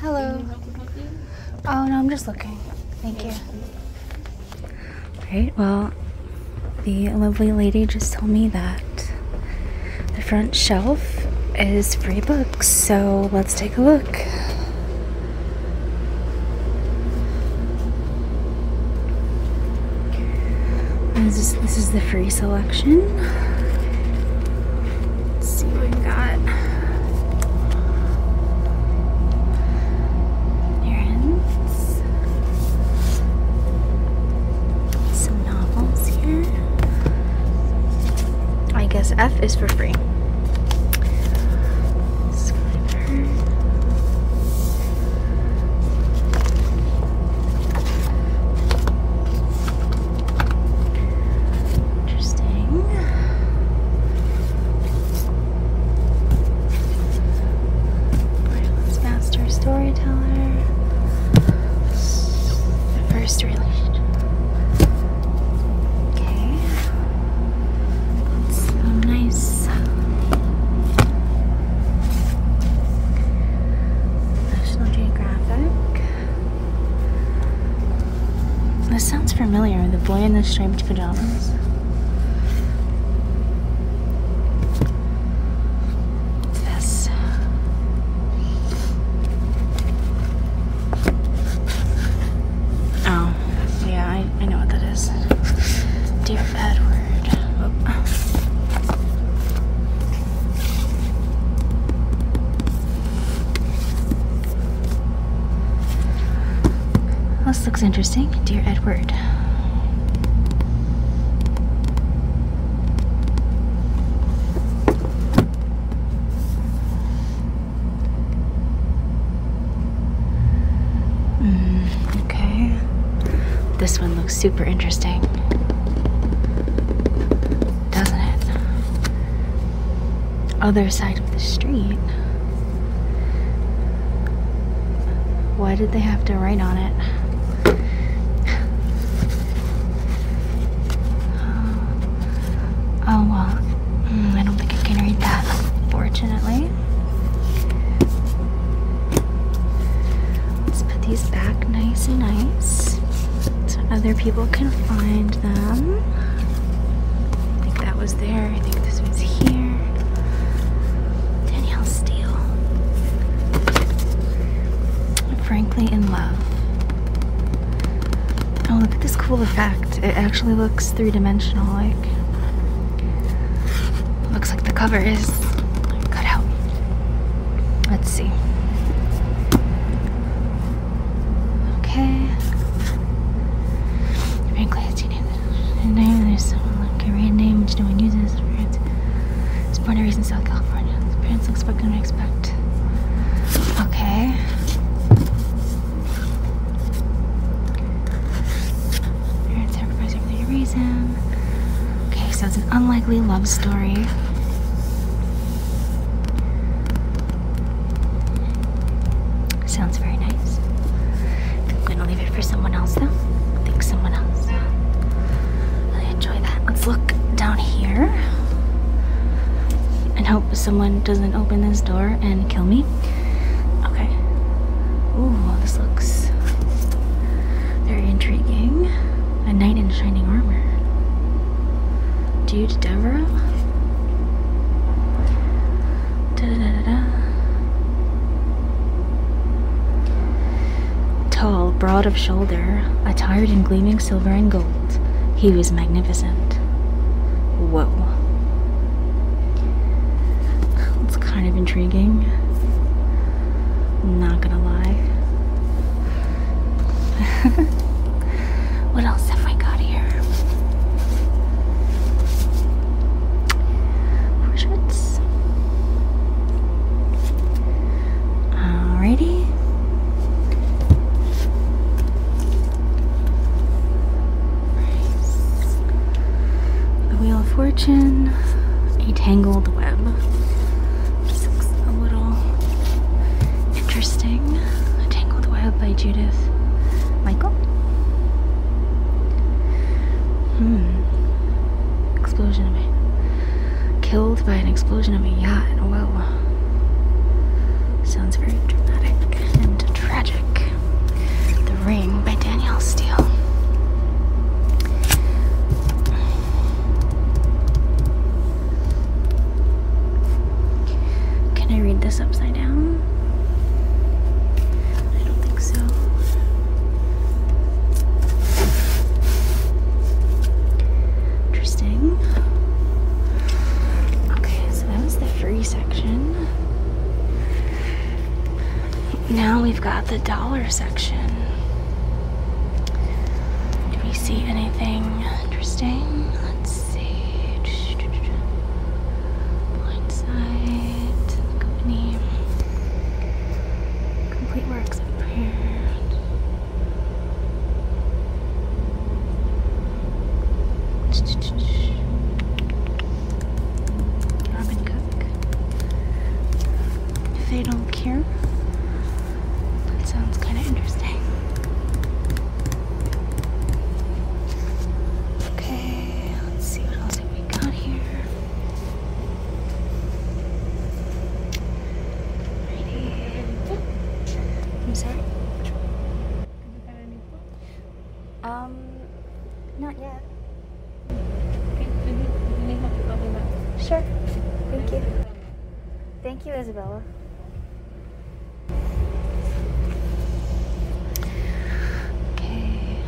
Hello. Oh, no, I'm just looking. Thank you. Great. Well, the lovely lady just told me that the front shelf is free books, so let's take a look. This is, the free selection. see what we got. Errands. Some novels here. I guess F is for free. Interesting. Ireland's master storyteller. first relation. Okay. nice. National Geographic. This sounds familiar, the boy in the striped pajamas. Oh, Dear Edward. Oh. This looks interesting, dear Edward. Mm, okay. This one super interesting. Doesn't it? Other side of the street. Why did they have to write on it? Oh, well, mm, I don't think I can read that, fortunately. Let's put these back nice and nice so other people can find them. I think that was there. I think this was here. Danielle Steele. Frankly in love. Oh, look at this cool effect. It actually looks three-dimensional like. Looks like the cover is cut out. Let's see. Okay. Very glad you name. There's someone like a random name which no one uses. It's born and raised South California. His parents looks what gonna expect. Okay. Parents sacrifice for their reason. Okay, so it's an unlikely love story. Sounds very nice. I'm gonna leave it for someone else though. think someone else. Really enjoy that. Let's look down here and hope someone doesn't open this door and kill me. Okay. Ooh, this looks very intriguing a knight in shining armor. Dude Devereux. Tall, broad of shoulder, attired in gleaming silver and gold, he was magnificent. Whoa. It's kind of intriguing. Not gonna lie. what else have I got here? Shirts. Alrighty. The Wheel of Fortune, a tangled web a little interesting. A Tangled Web by Judith Michael. Hmm. Explosion of a killed by an explosion of a yacht. Oh, wow. Sounds very dramatic and tragic. The Ring by Danielle Steele. Can I read this upside down? I don't think so. Interesting. Okay, so that was the free section. Now we've got the dollar section. Do we see anything interesting? Let's see. Blind company, complete works of Robin Cook. they don't care, that sounds kind of interesting. Okay, let's see what else we got here. I'm sorry. Um, not yet. Okay, maybe, maybe help you Sure. Thank you. Thank you, Isabella. Okay.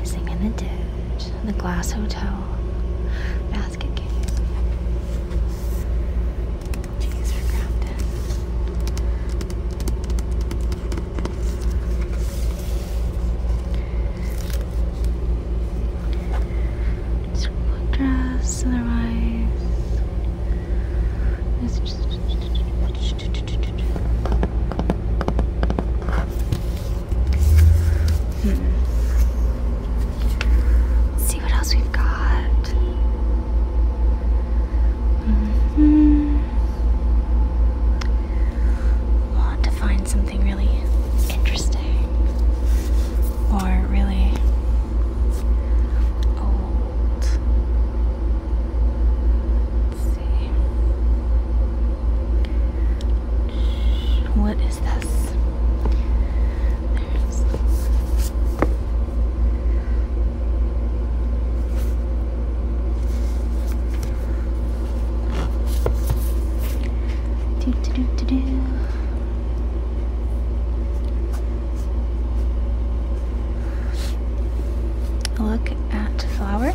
missing in the ditch. The glass hotel. Basket case. Jeez, we're grounded. Circle across to the Let's just see what else we've got. Mm-hmm. Want to find some really interesting or really old. What is this? Do, do, do, Look at flower.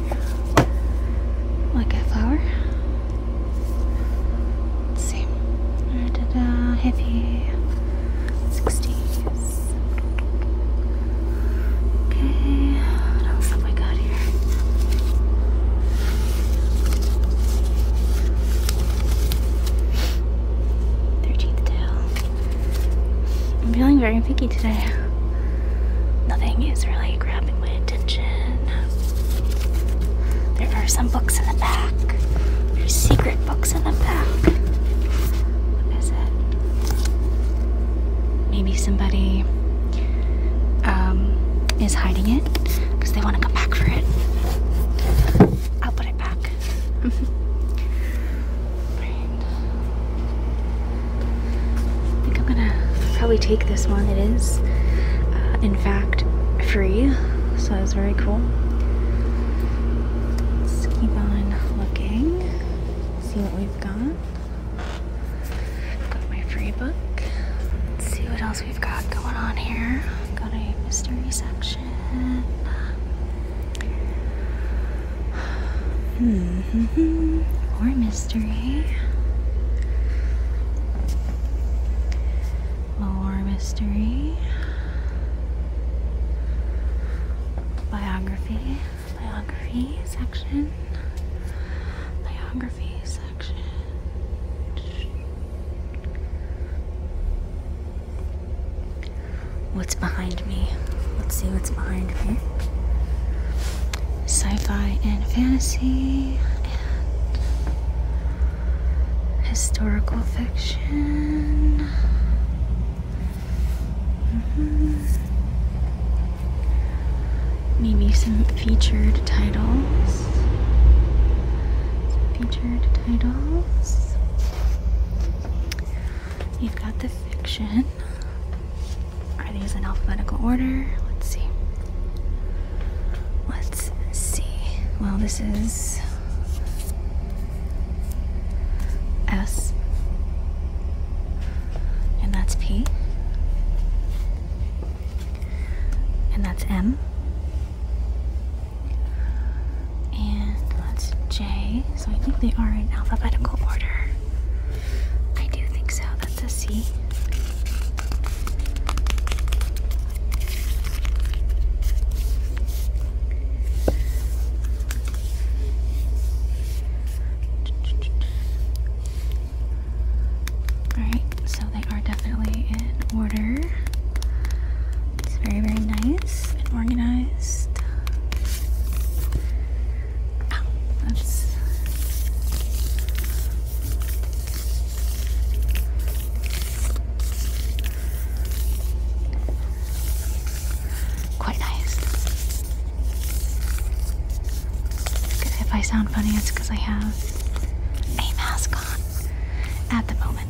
Look at flower. let Da, da, da, 60s. Okay. What else have got Thirteenth tail. I'm feeling very picky today. Nothing is really grabbing my attention. There are some books in the back. There's secret books in the back. What is it? Maybe somebody um, is hiding it because they want to come back for it. I'll put it back. I think I'm gonna probably take this one. It is, uh, in fact, free, so that's very cool. Let's keep on looking, see what we've got. I've got my free book. Let's see what else we've got going on here. Got a mystery section. Mm -hmm. More mystery. More mystery. Biography. Biography section. Biography section. What's behind me? Let's see what's behind me. Sci fi and fantasy and historical fiction. Mm-hmm. Maybe some featured titles featured titles. You've got the fiction. Are these in alphabetical order? Let's see. Let's see. Well, this is S, and that's P, and that's M. And that's J. So I think they are in alphabetical order. I do think so. That's a C. Alright, so they are definitely in order. It's very, very nice and organized. Ow, quite nice. If I sound funny, it's because I have a mask on at the moment.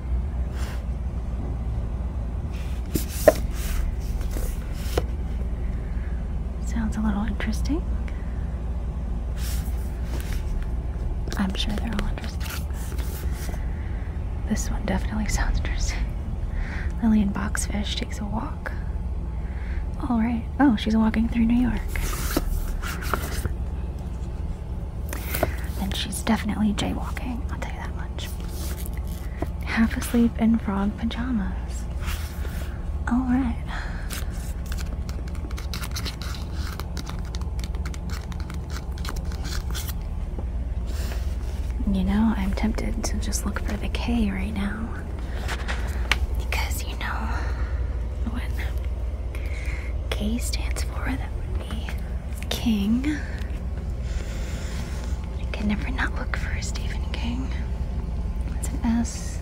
Sounds a little interesting. I'm sure they're all interesting. This one definitely sounds interesting. Lillian Boxfish takes a walk. Alright. Oh, she's walking through New York. Then she's definitely jaywalking, I'll tell you that much. Half asleep in frog pajamas. Alright. You know, I'm tempted to just look for the K right now. Because, you know, what K stands for, that would be King. I can never not look for a Stephen King. That's an S.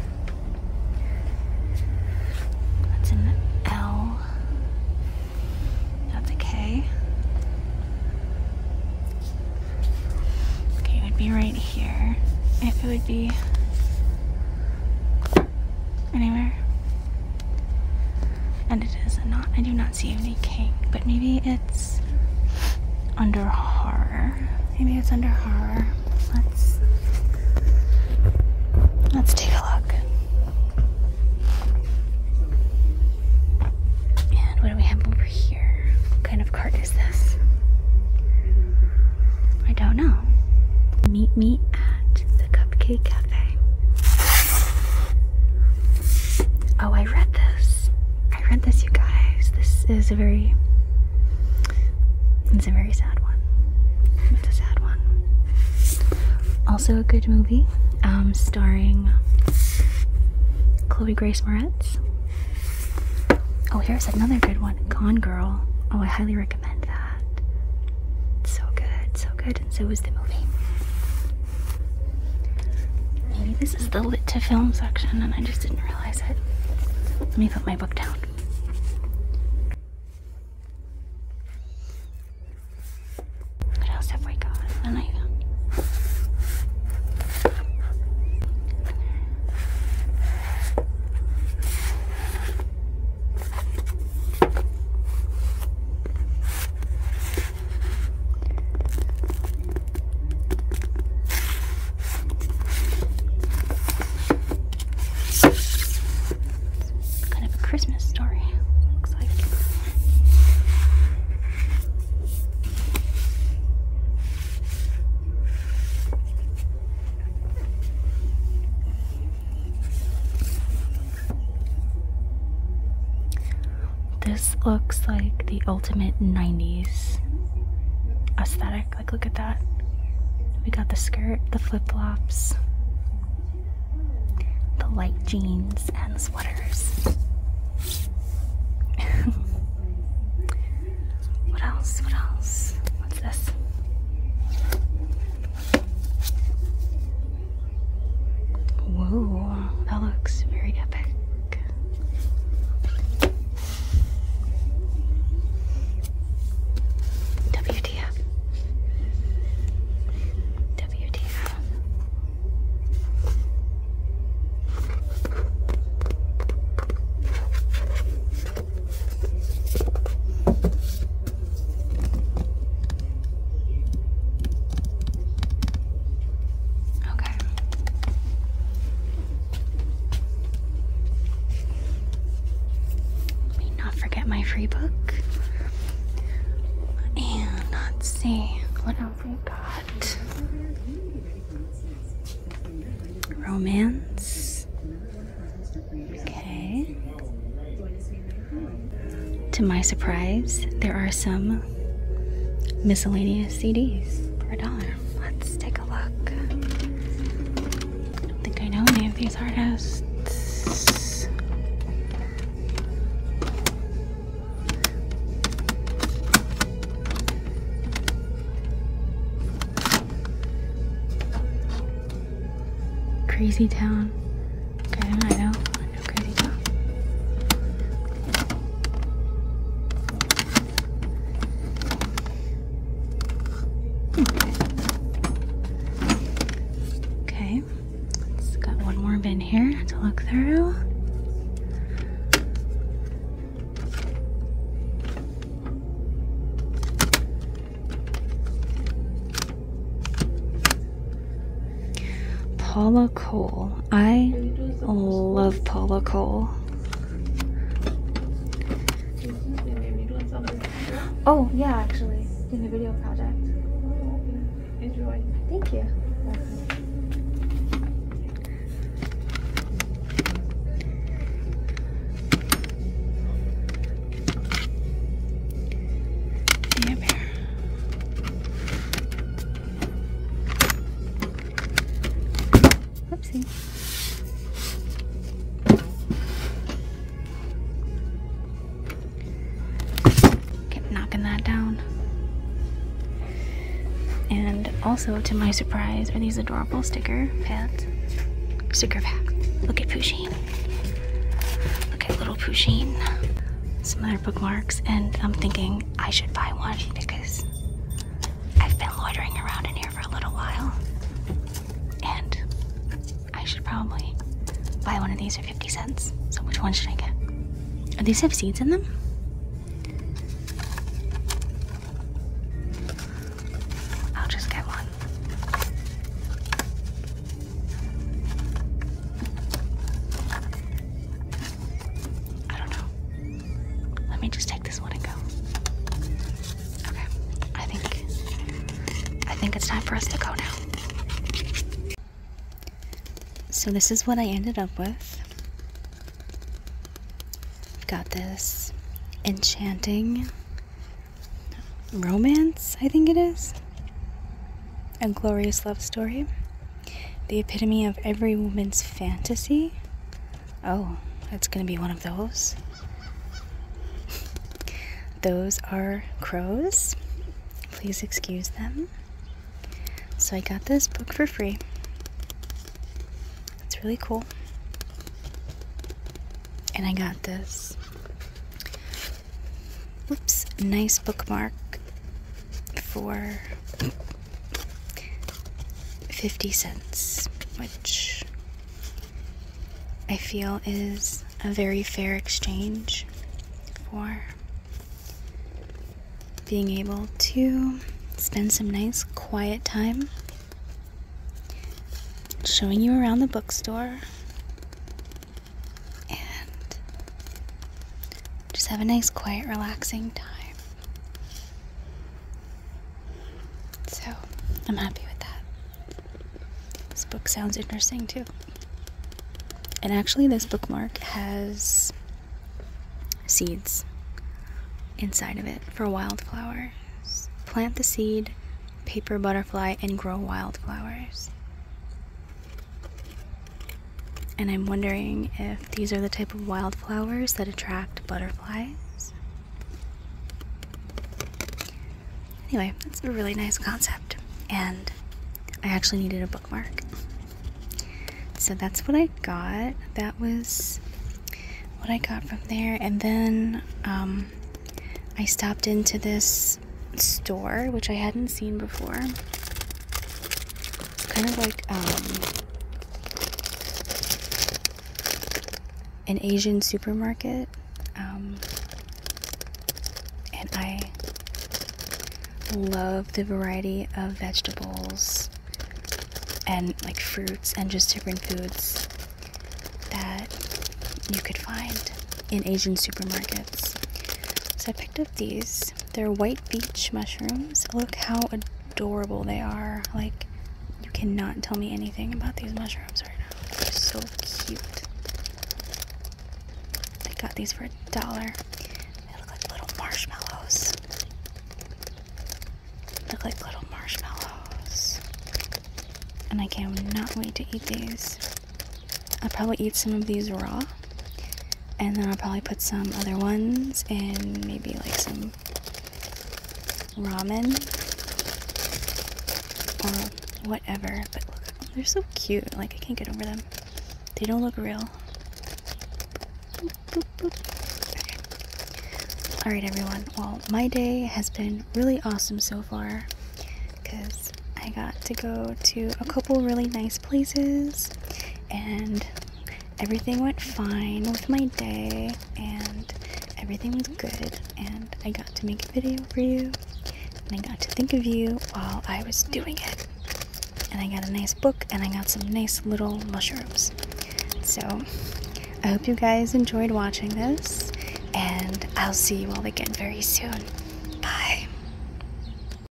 That's an L. That's a K. Okay, it would be right here. If it would be anywhere. And it is not, I do not see any king, but maybe it's under horror. Maybe it's under horror. Let's let's take a look. And what do we have over here? What kind of cart is this? I don't know. Meet me at the cupcake house. Oh, I read this. I read this, you guys. This is a very. It's a very sad one. It's a sad one. Also, a good movie, um, starring Chloe Grace Moretz. Oh, here's another good one, Gone Girl. Oh, I highly recommend that. So good, so good so is the movie. Maybe this is the lit to film section, and I just didn't realize it. Let me put my book down. What else have we got? And I kind of a Christmas story, looks like. This looks like the ultimate 90s aesthetic. Like, look at that. We got the skirt, the flip flops, the light jeans, and sweaters. what else? What else? What's this? Whoa, that looks very epic. WTF. WTF. Okay. Let not forget my free book. And let's see what else we got. Romance. Okay. To my surprise, there are some miscellaneous CDs for a dollar. Let's take a look. I don't think I know any of these artists. Crazy Town. Okay, I know. Okay. okay, it got one more bin here to look through. Paula Cole. I love Paula Cole. Oh, yeah, actually, in the video project. Enjoy. Thank you. Oopsie. Kept knocking that down. And also, to my surprise, are these adorable sticker pads. Sticker pack. Look at Pusheen. Look at little Pusheen some other bookmarks, and I'm thinking I should buy one because I've been loitering around in here for a little while, and I should probably buy one of these for 50 cents. So, which one should I get? Oh, these have seeds in them? I'll just get one. I don't know. Let me just take this one and go. Okay. I think I think it's time for us to go now. So this is what I ended up with. got this enchanting romance, I think it is. A glorious love story. The epitome of every woman's fantasy? Oh, that's gonna be one of those. those are crows. Please excuse them. So I got this book for free. It's really cool. And I got this Whoops, nice bookmark for 50 cents, which I feel is a very fair exchange for being able to spend some nice quiet time showing you around the bookstore and just have a nice, quiet, relaxing time. So, I'm happy with that. This book sounds interesting too. And actually, this bookmark has seeds inside of it for wildflowers. Plant the seed, paper butterfly, and grow wildflowers. And I'm wondering if these are the type of wildflowers that attract butterflies. Anyway, that's a really nice concept. And I actually needed a bookmark. So that's what I got. That was what I got from there. And then um, I stopped into this store, which I hadn't seen before kind of like um, an Asian supermarket. Um, and I love the variety of vegetables and like fruits and just different foods that you could find in Asian supermarkets. So I picked up these they're white beach mushrooms. Look how adorable they are. Like, you cannot tell me anything about these mushrooms right now. They're so cute. I got these for a dollar. They look like little marshmallows. Look like little marshmallows. And I cannot wait to eat these. I'll probably eat some of these raw. And then I'll probably put some other ones in maybe like some ramen or whatever. But look, they're so cute. Like, I can't get over them. They don't look real. Alright, everyone. Well, my day has been really awesome so far because I got to go to a couple really nice places, and everything went fine with my day, and everything was good, and I got to make a video for you, and I got to think of you while I was doing it. And I got a nice book, and I got some nice little mushrooms. So, I hope you guys enjoyed watching this, and I'll see you all again very soon. Bye.